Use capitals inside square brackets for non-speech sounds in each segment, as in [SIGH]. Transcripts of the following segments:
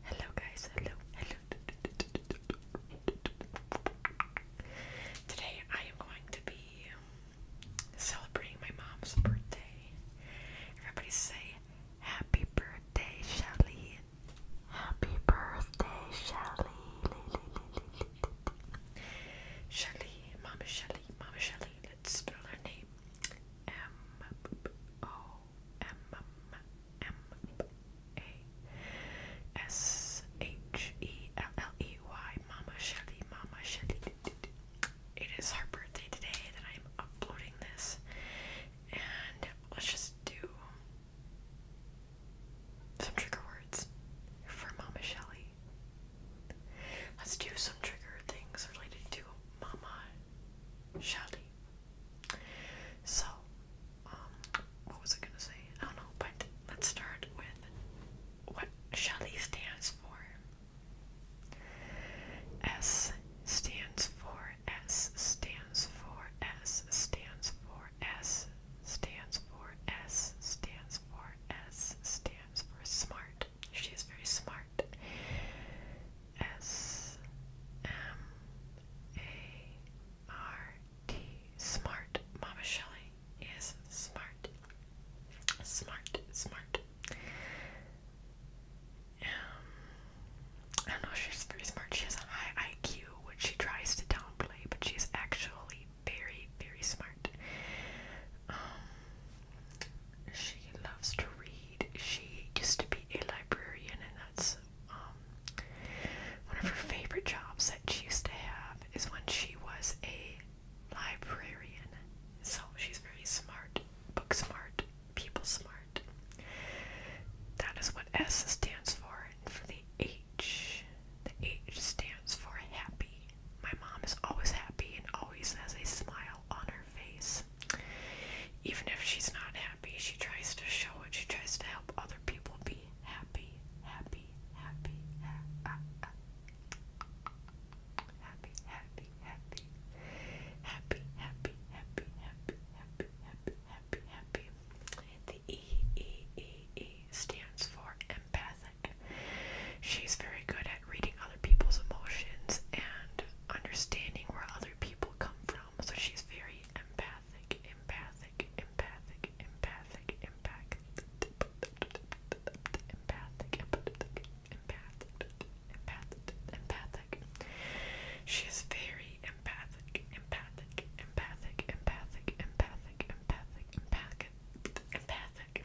Hello guys, hello, hello. Today I am going to be celebrating my mom's birthday. Everybody say happy birthday, Shelly. Happy birthday, Shelly. Shelly, Mama Shelly, Mama Shelly. Let's spell her name. M O M M A S H E L L E Y Mama Shelly Mama Shelly. It is her birthday today that I am uploading this, and let's just do some trigger words for Mama Shelly. Let's do some trigger things related to Mama Shelly. So, um, what was I gonna say? I don't know, but let's start with what Shelly stands for. S stands for S stands for S stands for S stands for S stands for S stands for smart. She is very smart. S M A R T Smart Mama Shelley is smart. Smart, smart. Um I don't know, she's pretty smart. She has a high IQ, which she tries to downplay, but she's actually very, very smart. Um she loves to read Reed. She used to be a librarian, and that's um, one of her favorite jobs that she used to have is when she was a librarian. So she's very smart, book smart, people smart. That is what S stands for. And for the H, the H stands for happy. My mom is always happy and always has a smile on her face. Even if she's not she tries to show it. She tries to help other people be happy, happy, happy, happy, happy, happy, happy, happy, happy, The E E E E stands for empathic. She's very good at reading other people's emotions and understanding where others other people come from. So she's very empathic, empathic, empathic, empathic, empathic, empathic, empathic, empathic, empathic. She is very empathic, empathic, empathic, empathic, empathic, empathic, empathic, empathic.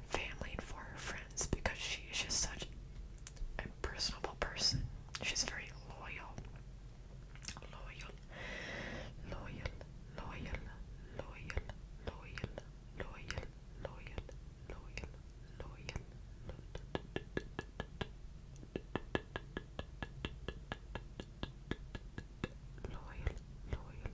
her family and for her friends because she is just such a personable person. She's very loyal. Loyal. Loyal. Loyal. Loyal. Loyal. Loyal. Loyal. Loyal. Loyal. Loyal. Loyal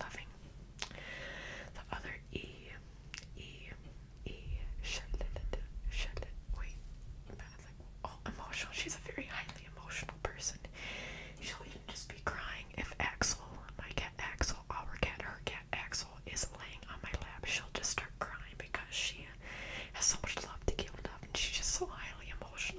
Loving. The other E, E, E, wait, that's emotional. She's a very highly emotional person. She'll even just be crying if Axel, my cat Axel, our cat, her cat Axel, is laying on my lap. She'll just start crying because she has so much love to give love, and she's just so highly emotional.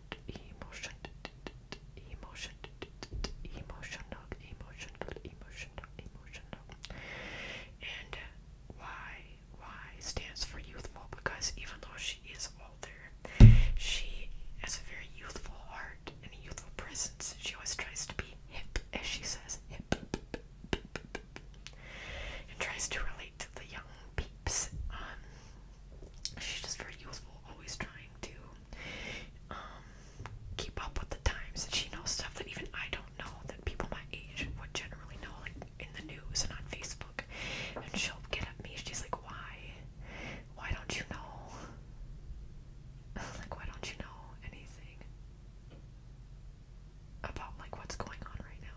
emotion, emotion, emotional, emotional, emotional, emotional. And why why stands for youthful because even though she is older, she has a very youthful heart and a youthful presence. She always tries to be hip, as she says, hip, and tries to relate relate to the young peeps. Um, she's just very youthful, always trying to um, keep up with the times, and she knows stuff that even I don't know that people my age would generally know, like in the news and on Facebook. And she'll get at me. She's like, "Why? Why don't you know? [LAUGHS] like, why don't you know anything?" about like what's going on right now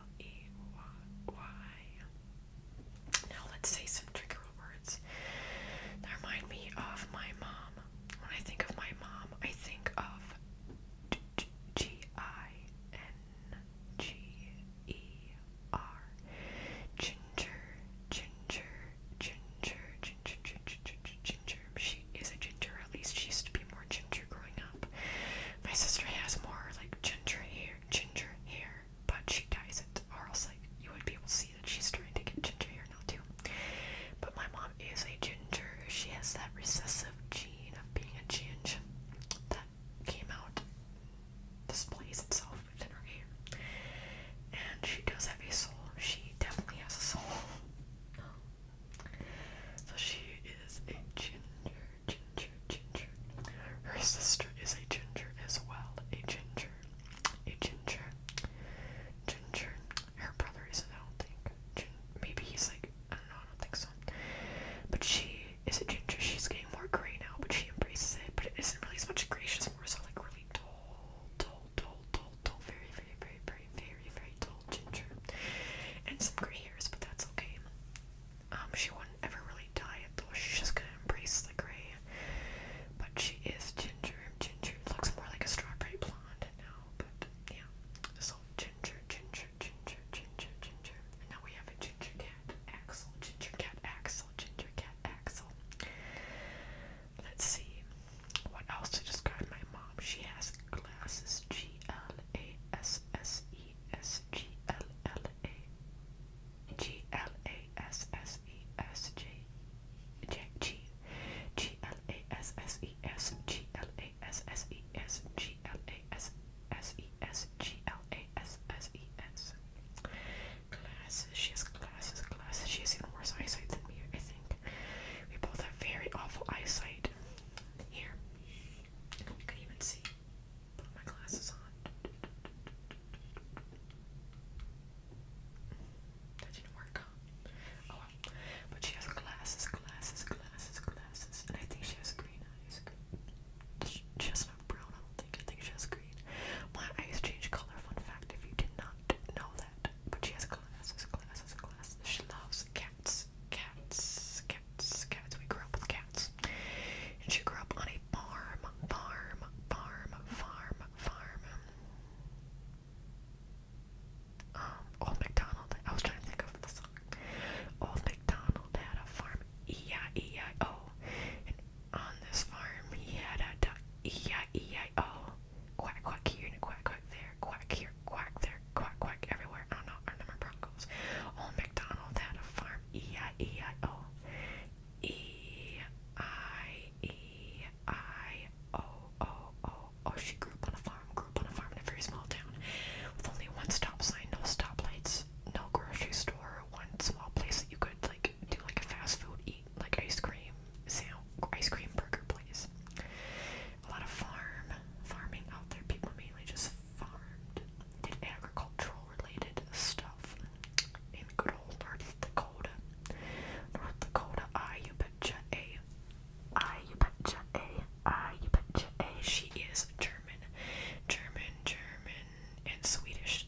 L E Y Y. Now let's say some trigger words that remind me of my mom. When I think of my mom, I think of G I N G E R. Ginger, ginger, ginger, ginger, ginger, ginger. She is a ginger, at least she used to be more ginger growing up. My sister has more like ginger hair, ginger hair, but she dyes it, or else like you would be able to see that she's trying to get ginger hair now too. But my mom is a ginger. She has that recessive gene of being a ginger that came out, displays itself within her hair, and she does have a soul. She definitely has a soul. [GASPS] So she is a ginger ginger, ginger. Her sister is a ginger as well. A ginger. A ginger. Ginger. Her brother isn't, I don't think. maybe he's like, I don't know, I don't think so. But she is a ginger. She's getting more gray now, but she embraces it. But it isn't really as much gray, she's more so like really tall, tall, tall, tall, tall, very, very, very, very, very, very tall ginger. And some gray hairs, but that's okay. Um, she will not ever really dye it though. She's just gonna embrace the gray. But she is ginger. Ginger looks more like a strawberry blonde now. But yeah, so ginger, ginger, ginger, ginger, ginger. And now we have a ginger cat. Axel, ginger cat, Axel, ginger cat, Axel. Let's see what else to describe my mom. She has glasses. G L A S S E. E S G L L A G L A S S E S J G G L A S S E S G L A S S E S G L A S S E S G L A S S E S. Glasses. She has glasses. Glasses. She has even worse eyesight than me. I think we both have very awful eyesight. Here. You can even see. Put my glasses on. That didn't work. Huh? Oh well. But she has glasses, glasses, glasses, glasses. And I think she has green eyes. She has not brown, I don't think. I think she has green. My eyes change color, fun fact, if you did not know that. But she has glasses, glasses, glasses. She loves cats cats, cats, cats. We grew up with cats. And she grew up on a farm, farm, farm, farm, farm. Um, Old MacDonald. I was trying to think of the song. Old MacDonald had a farm, E-I-E-I-O. And on this farm, he had a Quack, quack here and quack, quack there quack here, quack there, quack, quack everywhere. I do our number Broncos. Old McDonald had a farm. E-I-E-I-O. E-I-E-I-O-O-O. Oh, she grew up on a farm, grew up on a farm in a very small town. With only one stop sign, no stoplights, no grocery store, one small place that you could like do like a fast food eat, like ice cream, ice cream burger place a lot of farm farming out there. People mainly just farmed, did agricultural related stuff in good old North Dakota. North Dakota, I She is German, German, German, and Swedish.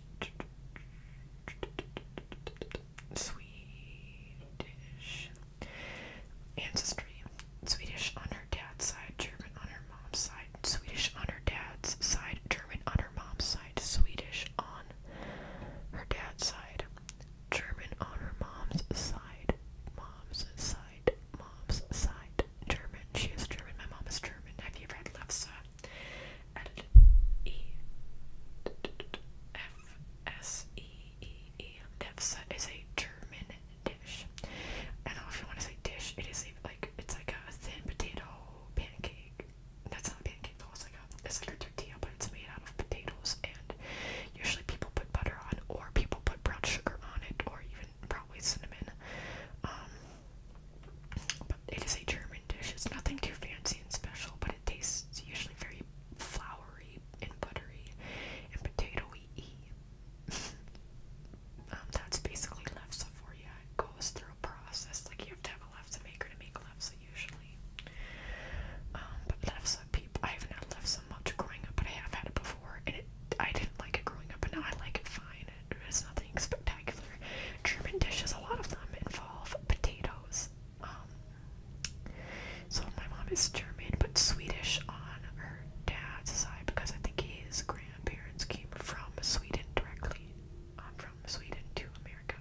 Swedish ancestry. Swedish on her dad's side, German on her mom's side, Swedish on her dad's side, German on her mom's side, Swedish on her dad's side, German on her mom's side, mom's side, mom's side, German. She is German. My mom is German. Have you read Lefse? Edit E F S E E E. is a German dish. I don't know if you want to say dish. It is a, like it's like a thin potato pancake. That's not a pancake though. It's like a it's like a tortilla, but it's made out of potatoes. And usually people put butter on, or people put brown sugar on it, or even probably cinnamon. Um, but it is a German dish. It's nothing too fancy and special, but it tastes usually very very floury and buttery and potatoey. [LAUGHS] um, that's basically lefse for you. It goes through a process. Like you have to have a lefse maker to make lefse usually. Um, but lefse, people, I haven't had lefse much growing up, but I have had it before, and it, I didn't like it growing up, but now I like it fine. It, it's nothing spectacular. German dishes, a lot of them involve potatoes. Um, so my mom is German but Swedish on her dad's side because I think his grandparents came from Sweden directly, um, from Sweden to America.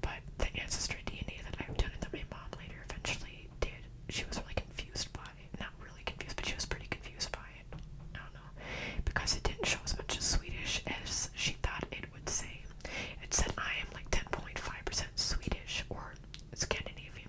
But the ancestry DNA that I've done and that my mom later eventually did, she was really confused by Not really confused, but she was pretty confused by it. I do Because it didn't show as much as Swedish as she thought it would say. It said I am like 10.5% Swedish or Scandinavian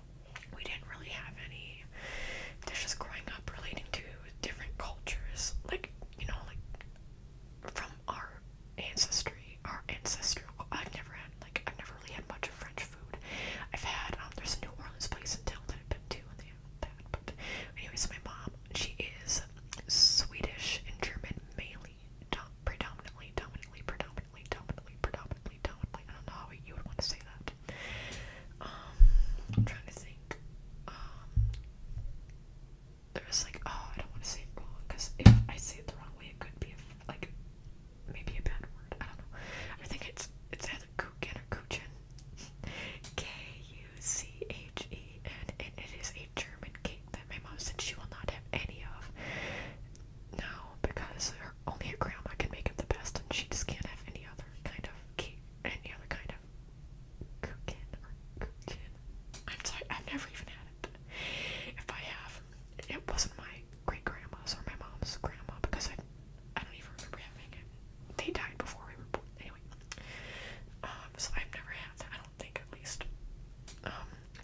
we didn't really have any dishes growing up relating to different cultures, like you know, like from our ancestry, our ancestral. I've never had like I've never really had much of French food. I've had um, there's a New Orleans place in town that I've been to, and they have that. But anyways, my mom she is Swedish and German mainly, dom predominantly, dominantly, predominantly predominantly, predominantly, I don't know how you would want to say that. Um, I'm trying to think. Um, there's like, oh, I don't want to say it wrong because if I say it the wrong way, it could be like maybe a bad word. I don't know. I think it's it's either Kuchen or Kuchen. K U C H E N, and it is a German cake that my mom said she will not have any of. No, because her, only her grandma can make it the best, and she just can't have any other kind of cake, any other kind of cooking or cooking. I'm sorry, I've never even had it. If I have, it wasn't my great grandma's or my mom's grandma because I, I don't even remember having it. They died before we were born. Anyway, um, so I've never had that. I don't think, at least. Um,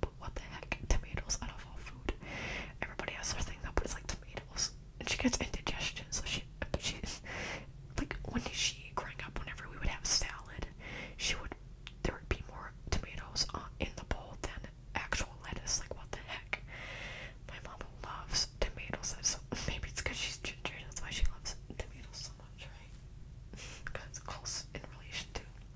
but what the heck? Tomatoes out of all food. Everybody has their thing up, but it's like tomatoes. And she gets indigestion, so she, she's like, when she growing up, whenever we would have salad, she would, there would be more tomatoes uh, in the bowl than actual lettuce. Like, what the heck? My mom loves tomatoes. So maybe it's because she's ginger, that's why she loves tomatoes so much, right? Because it's close in relation to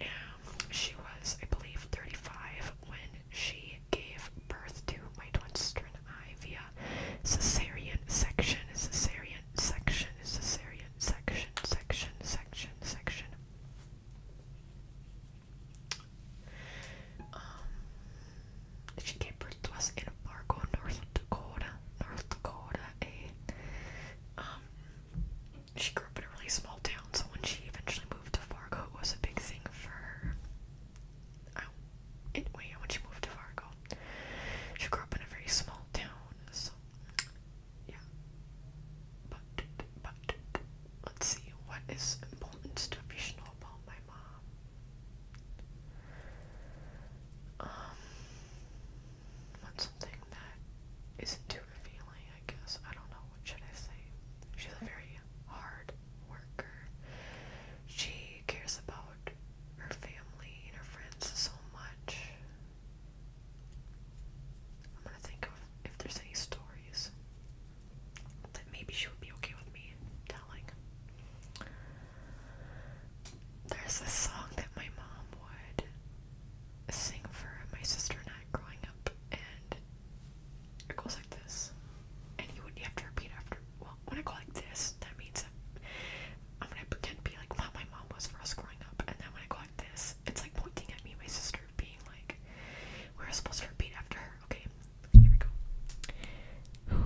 Um, she was, I believe, 35 when she gave birth to my twin sister and I via cesarean section, cesarean section, cesarean section, section, section, section. Um, she gave birth to us in Fargo, North Dakota, North Dakota, a eh, um, she grew up in a really small town, so when she eventually moved to Fargo, it was a big thing for her. Oh, anyway, when she moved to Fargo, she grew up in a very small town, so yeah. But, but, let's see, what is important to you should about my mom? Um, what's something that isn't too revealing? I guess. I don't know. What should I say? She's a very hard worker. She cares about her family and her friends so much. I'm gonna think of if there's any stories that maybe she would be okay with me telling. There's a song that my mom would thing for my sister and I growing up, and it goes like this. And you would you have to repeat after. Well, when I go like this, that means I'm gonna pretend to be like what my mom was for us growing up, and then when I go like this, it's like pointing at me and my sister, being like, we're supposed to repeat after her. Okay, here we go.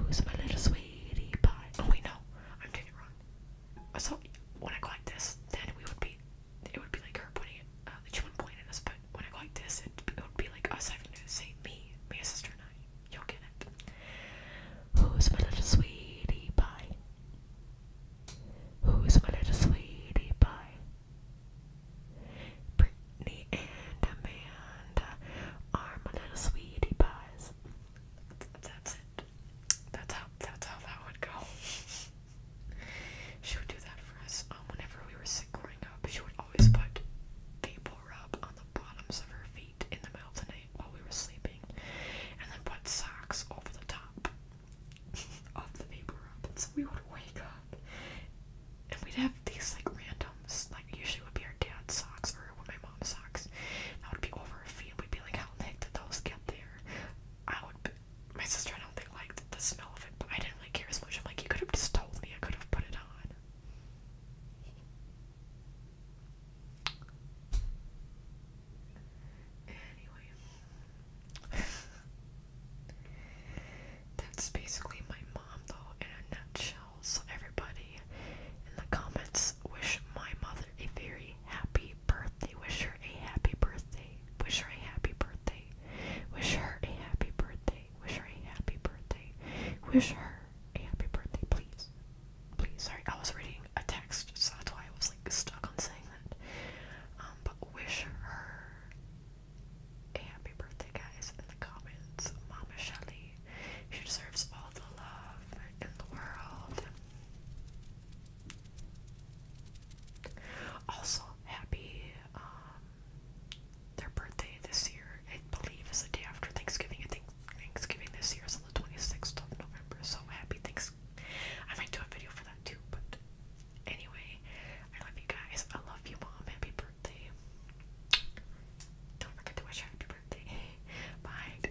Who's my little sweetie pie? Oh wait, no, I'm doing it wrong. So when I go like this, then we would be it would be like her pointing, it, she uh, wouldn't point at us, but when I go like this, it, would be like us having to say me, me, a sister, and I. You'll get it. Who's my little sweetie pie? Who's my little sweetie pie? Britney and Amanda are my little sweetie pies. That's it. That's how that's how that would go. [LAUGHS] She would do that for us. Um, whenever we were sick growing up, she would always put Vapor Rub on the bottoms of her feet in the middle of the night while we were sleeping, and then put socks over the top [LAUGHS] of the Vapor Rub. And so we would wake up, and we'd have these like randoms, like usually it would be our dad's socks or my mom's socks. That would be over her feet. We'd be like, how did those get there? I would my sister I don't think liked the smell of it, but I didn't really care as much. I'm like, you could have just told me. I could have put it on. Anyway, that's basically my mom, though, in a nutshell. So everybody in the comments wish my mother a very happy birthday. Wish her a happy birthday. Wish her a happy birthday. Wish her a happy birthday. Wish her a happy birthday. Wish her a happy birthday, please. Please, sorry, I was reading a text, so that's why I was like stuck on saying that. Um, but wish her a happy birthday, guys, in the comments. Mama Shelly, she deserves all the love in the world. Also, happy um, their birthday this year. I believe is the day after Thanksgiving. I think Thanksgiving this year is on the 26th of November. So happy Thanksgiving. I might do a video for that too. But anyway, I love you guys. I love you, mom. Happy birthday. Don't forget to wish her happy birthday. [LAUGHS] Bye.